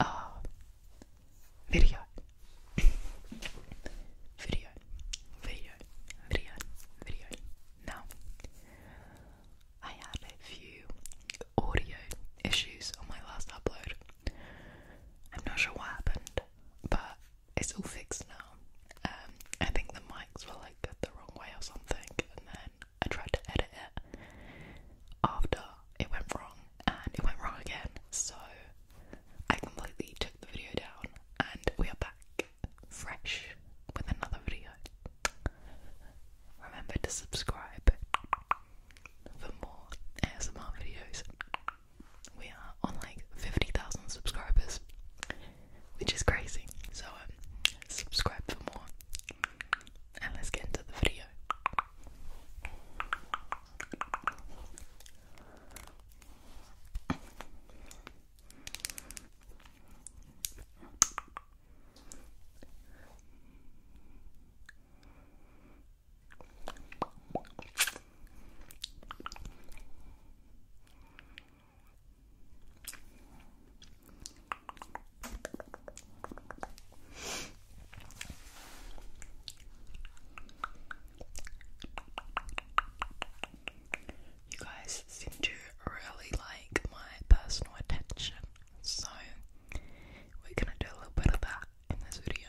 uh, video. video, video, video, video. Now, I had a few audio issues on my last upload. I'm not sure what happened, but it's all fixed now. Um, I think the mics were like the wrong way or something, and then I tried to edit it after it went wrong and it went wrong again, so I completely took the video down and we are back fresh with another video. Remember to subscribe for more ASMR videos. We are on like 50,000 subscribers, which is crazy. So, um, subscribe for more and let's get into the video. You guys seem to really like my personal attention, so we're gonna do a little bit of that in this video.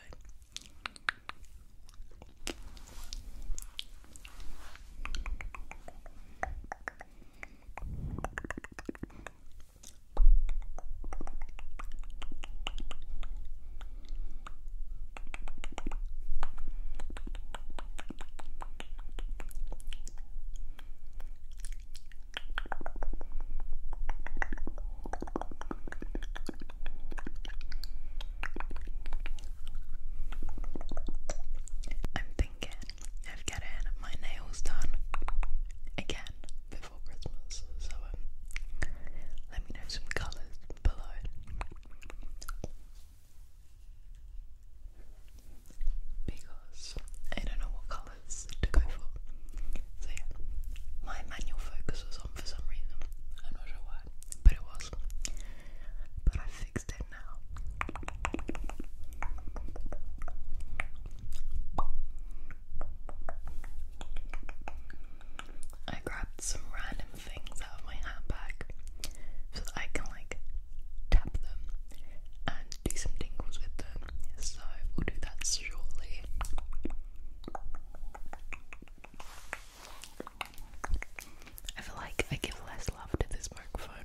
I'm thinking of getting my nails done again before Christmas. So um, let me know some colours below. Because I don't know what colours to go for. So yeah, my manual focus was on for some reason. I'm not sure why, but it was. But I fixed it now. I grabbed some random things out of my handbag so that I can like tap them and do some tingles with them. So we'll do that shortly. I feel like I give less love to this microphone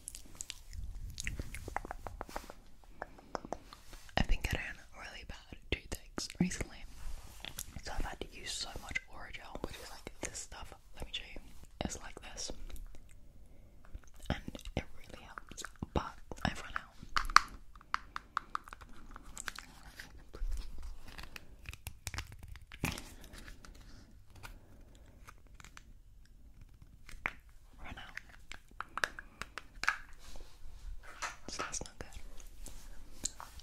I've been getting really bad toothaches recently, so I've had to use so much Orajel, which is like this stuff. Let me show you. It's like this, and it really helps. But I've run out run out. So that's not good.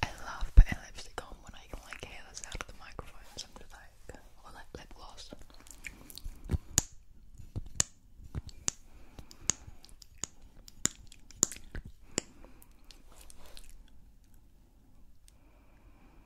I love putting lipstick on when I can like hear the sound of the microphone sometimes like or like lip gloss.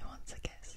Who wants a kiss?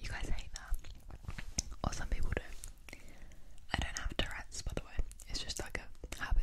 You guys hate that, or some people do. I don't have Tourette's, by the way. It's just like a habit.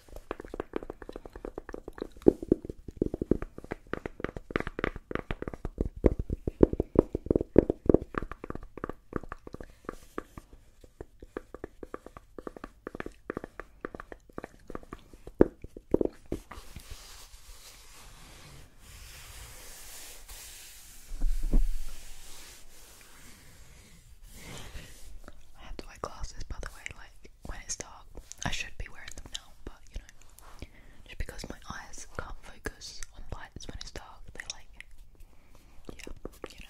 I have to wear glasses by the way, like when it's dark. I should be wearing them now, but you know, just because my eyes can't focus on lights when it's dark, they like, yeah, you know.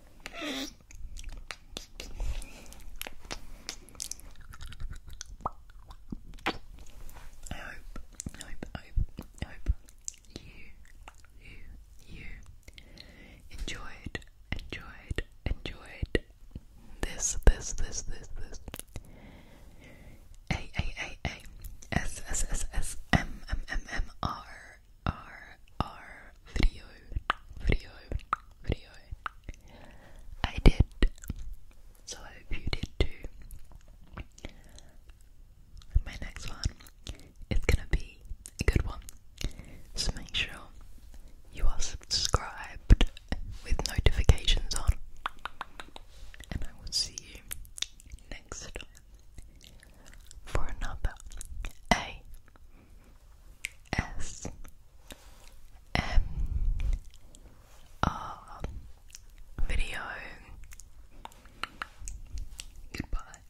I hope, I hope, I hope, I hope you, you, you enjoyed, enjoyed, enjoyed this, this, this, this, this. A, A, A, A, S, S, S, S, M, M, M, M, R. R R video video video. I did, so I hope you did too. My next one is gonna be a good one, so make sure you are subscribed with notifications on, and I will see you next for another A S M R video. Goodbye.